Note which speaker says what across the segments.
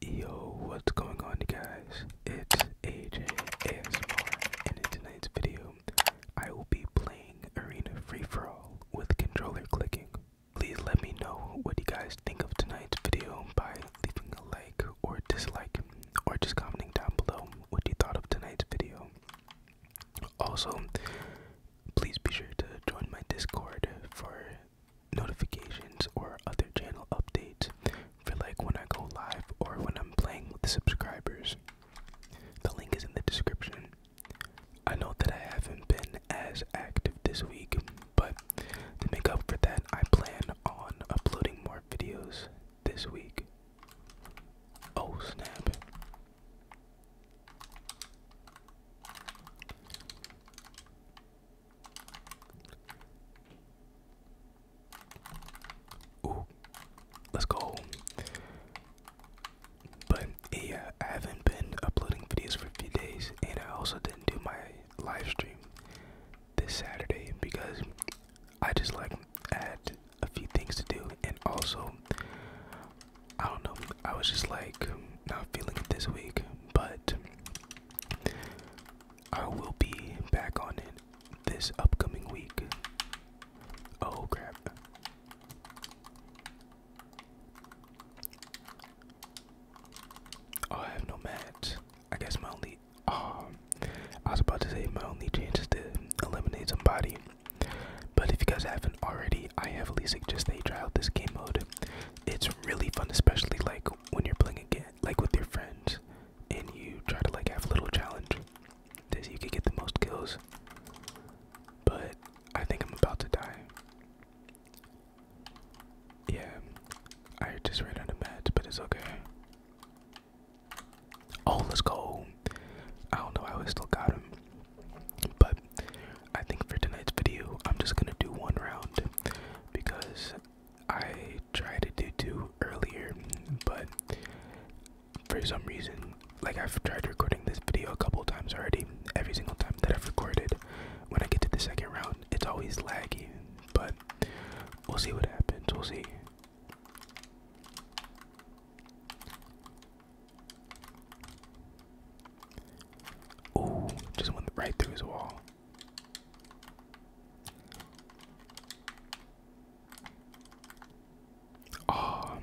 Speaker 1: Yo, what's going on, guys? It's AJ ASMR, and in tonight's video, I will be playing Arena Free For All with controller clicking. Please let me know what you guys think of tonight's video by leaving a like or dislike, or just commenting down below what you thought of tonight's video. Also, please be sure to join my Discord for notifications or other channel updates for like when I go live or when I'm playing with the subscribers. The link is in the description. I know that I haven't been as active this week, but to make up for that, I plan on uploading more videos this week. Oh snap. Ooh, let's go. But yeah, I haven't been uploading videos for a few days, and I also didn't do my live stream this Saturday because I just like had a few things to do, and also, I don't know, I was just like not feeling it this week, but I will be back on it this upcoming week. Oh crap. Oh, I have no mats. I guess my only um, I was about to say my only chance is to eliminate somebody. But if you guys haven't already, I heavily suggest that you try out this game mode. It's really fun, especially like when you're playing again, like with your friends, and you try to like have a little challenge to see you can get the most kills. But I think I'm about to die. Yeah, I just ran on the meds, but it's okay. Oh, let's go. I don't know, I still got him. But I think for tonight's video, I'm just gonna do one round because I tried to do two earlier, but for some reason, like I've tried recording this video a couple times already. Every single time that I've recorded, when I get to the second round, it's always laggy. But we'll see what happens. We'll see. Ooh, just went right through his wall. Oh.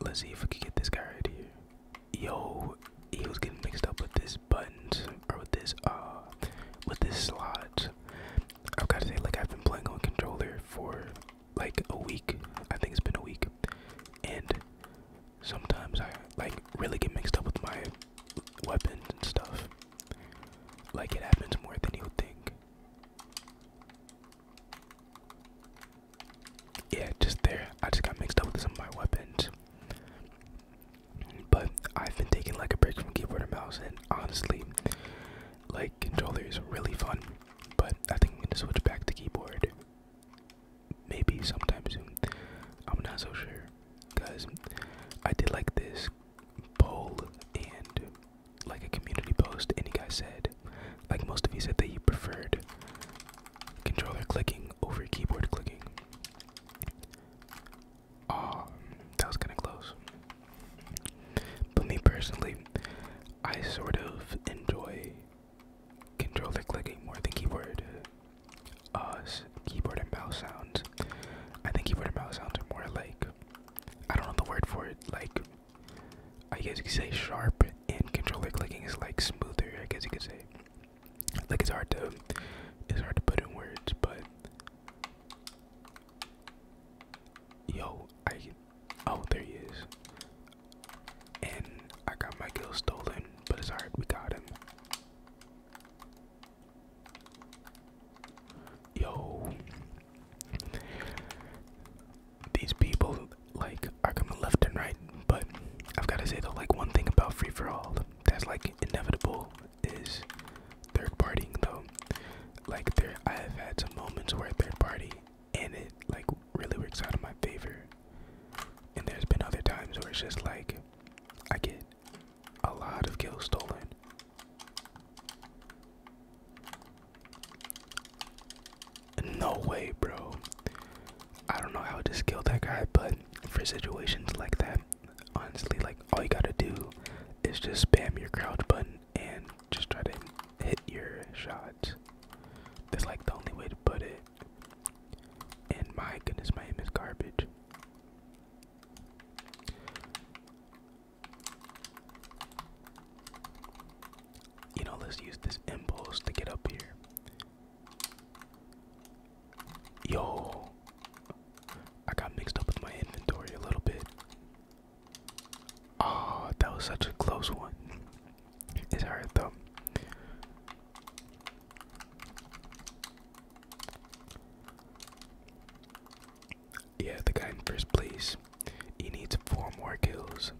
Speaker 1: Let's see if we can get this guy right here yo, he was getting mixed up with this button or with this uh with this slot. I've gotta say, like I've been playing on controller for like a week. I think it's been a week, and sometimes I like really get mixed up with my weapons and stuff. Like it happens more than you would think yeah, just there. I just got mixed up with some of my weapons. But I've been taking like a break from keyboard and mouse, and honestly, like controller is really fun. But I think I'm gonna switch back to keyboard. Maybe sometimes. I'm not so sure, cause I did like this poll and like a community post, Any you guys said like most of you said, that you preferred controller clicking over keyboard clicking. Um, that was kind of close. But me personally, I sort of enjoy controller clicking more than keyboard. Uh, keyboard and mouse sounds. I think keyboard and mouse sounds are more like I don't know the word for it, like I guess you could say sharp and controller clicking is like smoother, I guess you could say. Like it's hard to it's hard to put in words, but yo, I oh there he is. And I got my kill stolen, but it's hard. we got him. Yo these people like are coming left and right. But I've got to say the like one thing about free for all that's like inevitable is third partying though. Like there, I have had some moments where third party and it like really works out in my favor. And there's been other times where it's just like I get a lot of kills stolen. No way, bro. I don't know how to skill that guy, but for situations like that, honestly, like all you gotta do is just spam your crouch button and just try to hit your shots. That's like the only way to put it. And my goodness, my aim is garbage. You know, let's use this impulse to get up here. Yo, I got mixed up with my inventory a little bit. Oh, that was such a close one. It's hard though. Yeah, the guy in first place. He needs four more kills.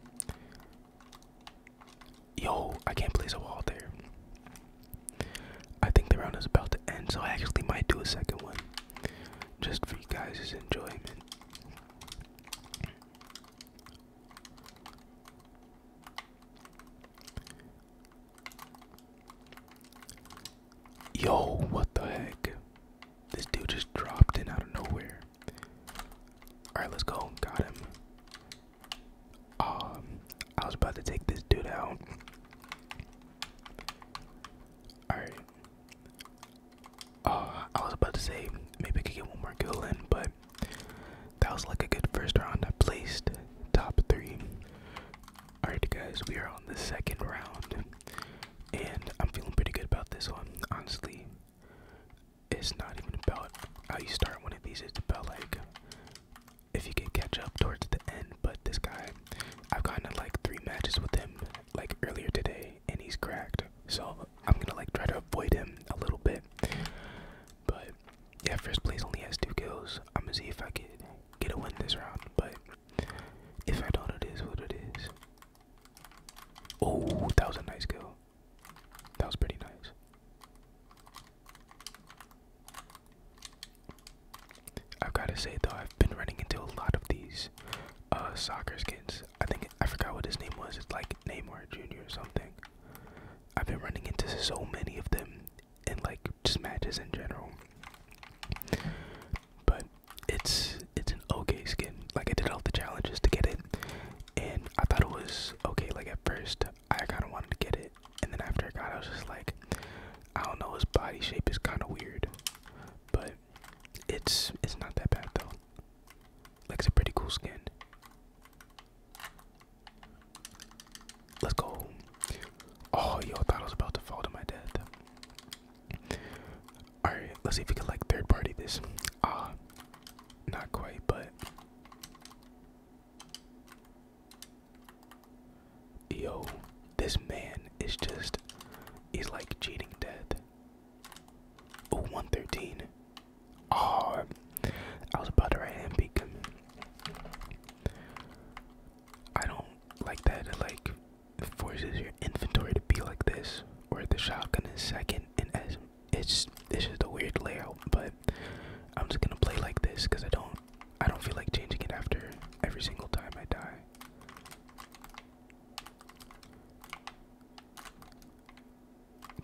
Speaker 1: Yo, I can't place a wall there. I think the round is about to end, so I actually might do a second one. Just for you guys' enjoyment. Yo, what the heck? This dude just dropped in out of nowhere. Alright, let's go. Got him. Um, I was about to take this dude out. Alright. Uh, I was about to say maybe I could get one more kill in, but that was like a good first round. I placed top three. Alright, guys, we are on the second round, and I'm feeling pretty good about this one. Honestly, it's not even about how you start one of these, it's about like if you can catch up towards the end. But this guy, I've gotten like three matches with him like earlier today, and he's cracked, so I'm gonna like try to avoid him a little bit. But yeah, first place only has two kills. I'm gonna see if I could get a win this round, but if I don't, it is what it is. Oh, that was a nice kill. That was pretty nice. I've got to say though, I've been running into a lot of these uh, soccer skins. I think I forgot what his name was. It's like Neymar Jr. or something. I've been running into so many of them and like just matches in general but it's it's an okay skin. Like I did all the challenges to get it, and I thought it was okay. Like at first, I kind of wanted to get it, and then after I got, I was just like, I don't know. His body shape is kind of weird, but it's it's not that bad though. Like it's a pretty cool skin. Let's go. Oh, yo, I thought I was about to fall to my death. Alright, let's see if we can like third party this. Ah, not quite, but. Yo, this man is just. He's like cheating death. Oh, 113. Oh, ah, I was about to write him beacon. I don't like that it like forces your inventory to be like this or the shotgun is second and it's this is the weird layout but I'm just gonna play like this because I don't I don't feel like changing it after every single time I die.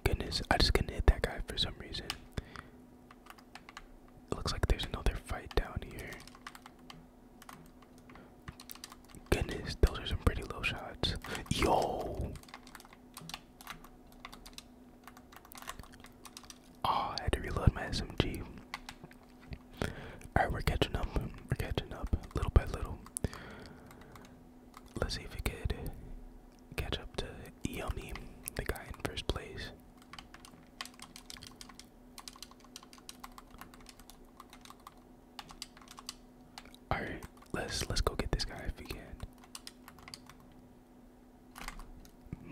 Speaker 1: Goodness, I just couldn't hit that guy for some reason. It looks like there's another fight down here. Goodness, those are some pretty low shots. Yo! Oh, had to reload my SMG. Alright, we're catching up. We're catching up little by little. Let's see if we could catch up to Yummy, the guy in first place. All right, let's let's go get this guy if we can.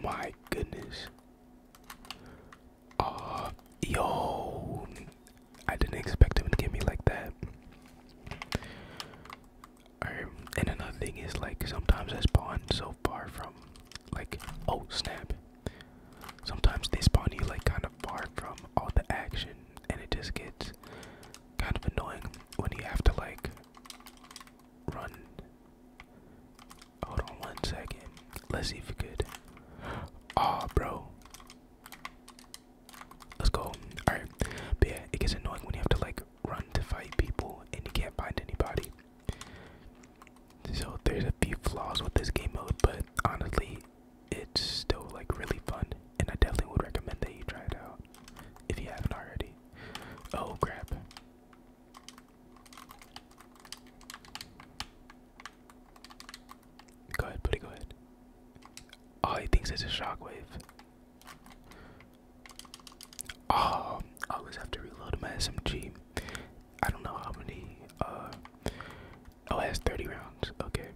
Speaker 1: My goodness. oh yo, I didn't expect him to get me like that. All right, and another thing is like sometimes I spawn so far from like oh snap sometimes they spawn you like kind of far from all the action and it just gets kind of annoying when you have to like run hold on one second let's see if we could Ah, bro let's go all right but yeah it gets annoying when you have to like run to fight people and you can't find anybody so there's a few flaws with this game mode, but honestly, it's still like really fun, and I definitely would recommend that you try it out if you haven't already. Oh crap. Go ahead, buddy, go ahead. Oh, he thinks it's a shockwave. Oh, I always have to reload my SMG. I don't know how many. Uh, oh, it has 30 rounds. Okay.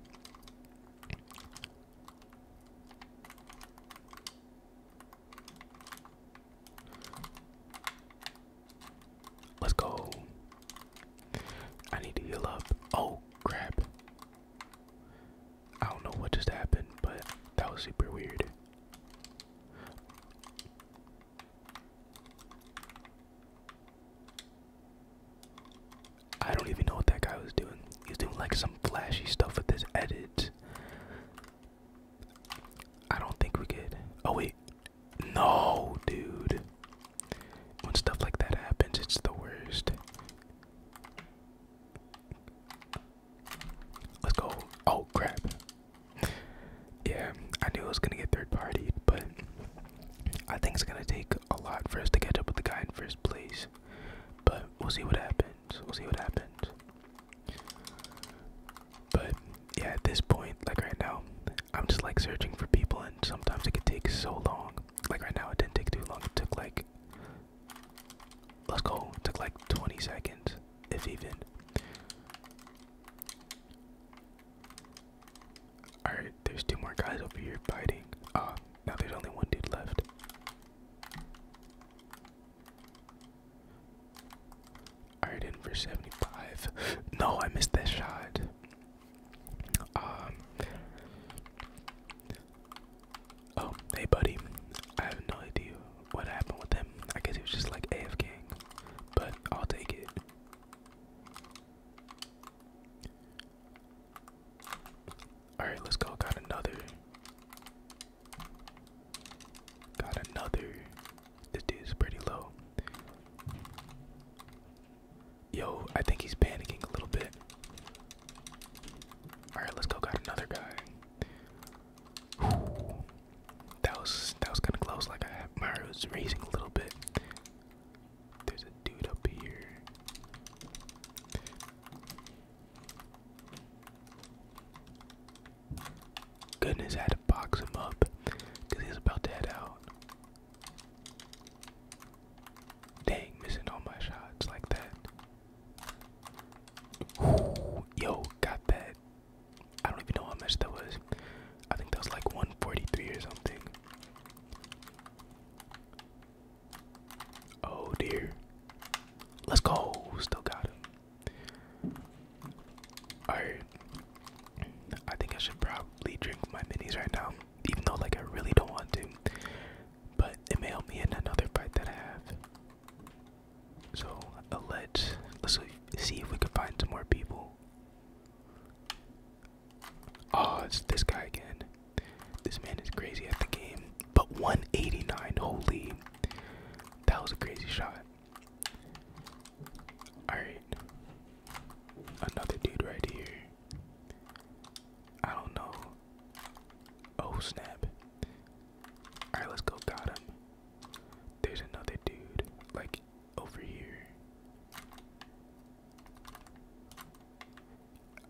Speaker 1: Let's go. I need to heal up. Oh, crap. I don't know what just happened, but that was super weird. I don't even know what that guy was doing. He's doing like some flashy stuff with his edit. I don't think we could. Oh wait. No, dude. When stuff like that happens, it's the worst. Let's go. Oh crap. Yeah, I knew it was gonna get third party, but I think it's gonna take a lot for us to catch up with the guy in first place. But we'll see what happens. We'll see what happens. But yeah, at this point, like right now, I'm just like searching for people, and sometimes it could take so long. Like right now, it didn't take too long. It took like Let's go. Took like 20 seconds, if even. Alright, there's two more guys over here fighting. Uh, now there's only one dude left. Alright, in for 75. No, I missed that shot. Um, Oh, hey buddy. I have no idea what happened with him. I guess it was just like AFKing, but I'll take it. Alright, let's go. Got another. Got another. This dude's pretty low. Yo, I think he's panicking a little bit. Alright, let's go got another guy. Ooh, that was that was kinda close, like I my Mario's raising a little bit. There's a dude up here. Goodness, had to box him up because he about to head out. Dang, missing all my shots like that. Ooh, yo, got that. I don't even know how much that was. I think that was like 143 or something. Oh dear. Let's go. Still got him. Alright. I think I should probably drink my minis right now. Even though like I really don't want to but it may help me in another fight that I have. So let's let's see if we can find some more people. Oh, it's this guy again. This man is crazy at the game. But 189, holy. That was a crazy shot. Alright. Another dude right here. I don't know. Oh snap. Alright, let's go. Got him. There's another dude, like over here.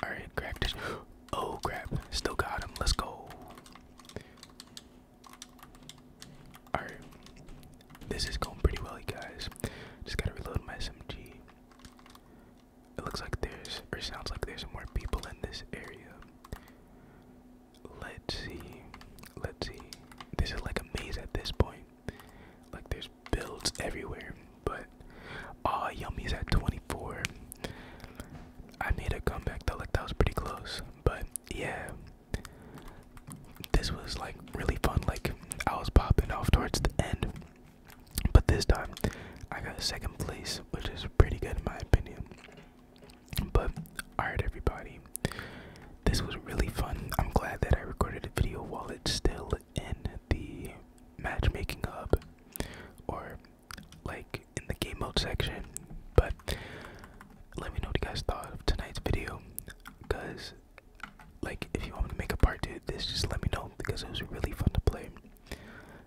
Speaker 1: Alright, crack this. Oh crap. Still got him. Let's go. Alright. This is going pretty well, you guys. Just gotta reload my SMG. It looks like there's, or sounds like there's more people in this area. Let's see. Let's see. This is like a maze at this point. Like there's builds everywhere. But, ah, Yummy's at 24. I made a comeback though, like that was pretty close. But, yeah. This was like really fun. Like, I was popping off towards the end. But this time, I got second place, which is pretty good in my opinion. But alright, everybody, this was really fun. I'm glad that I recorded a video while it's still in the matchmaking hub or like in the game mode section. But let me know what you guys thought of tonight's video because like if you want me to make a part to this just let me know because it was really fun to play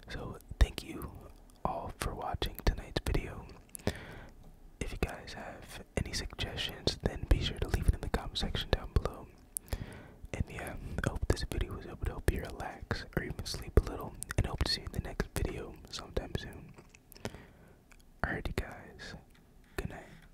Speaker 1: so thank you all for watching tonight's video if you guys have any suggestions then be sure to leave it in the comment section down below and yeah hope this video was able to help you relax or even sleep a little and hope to see you in the next video sometime soon alrighty guys good night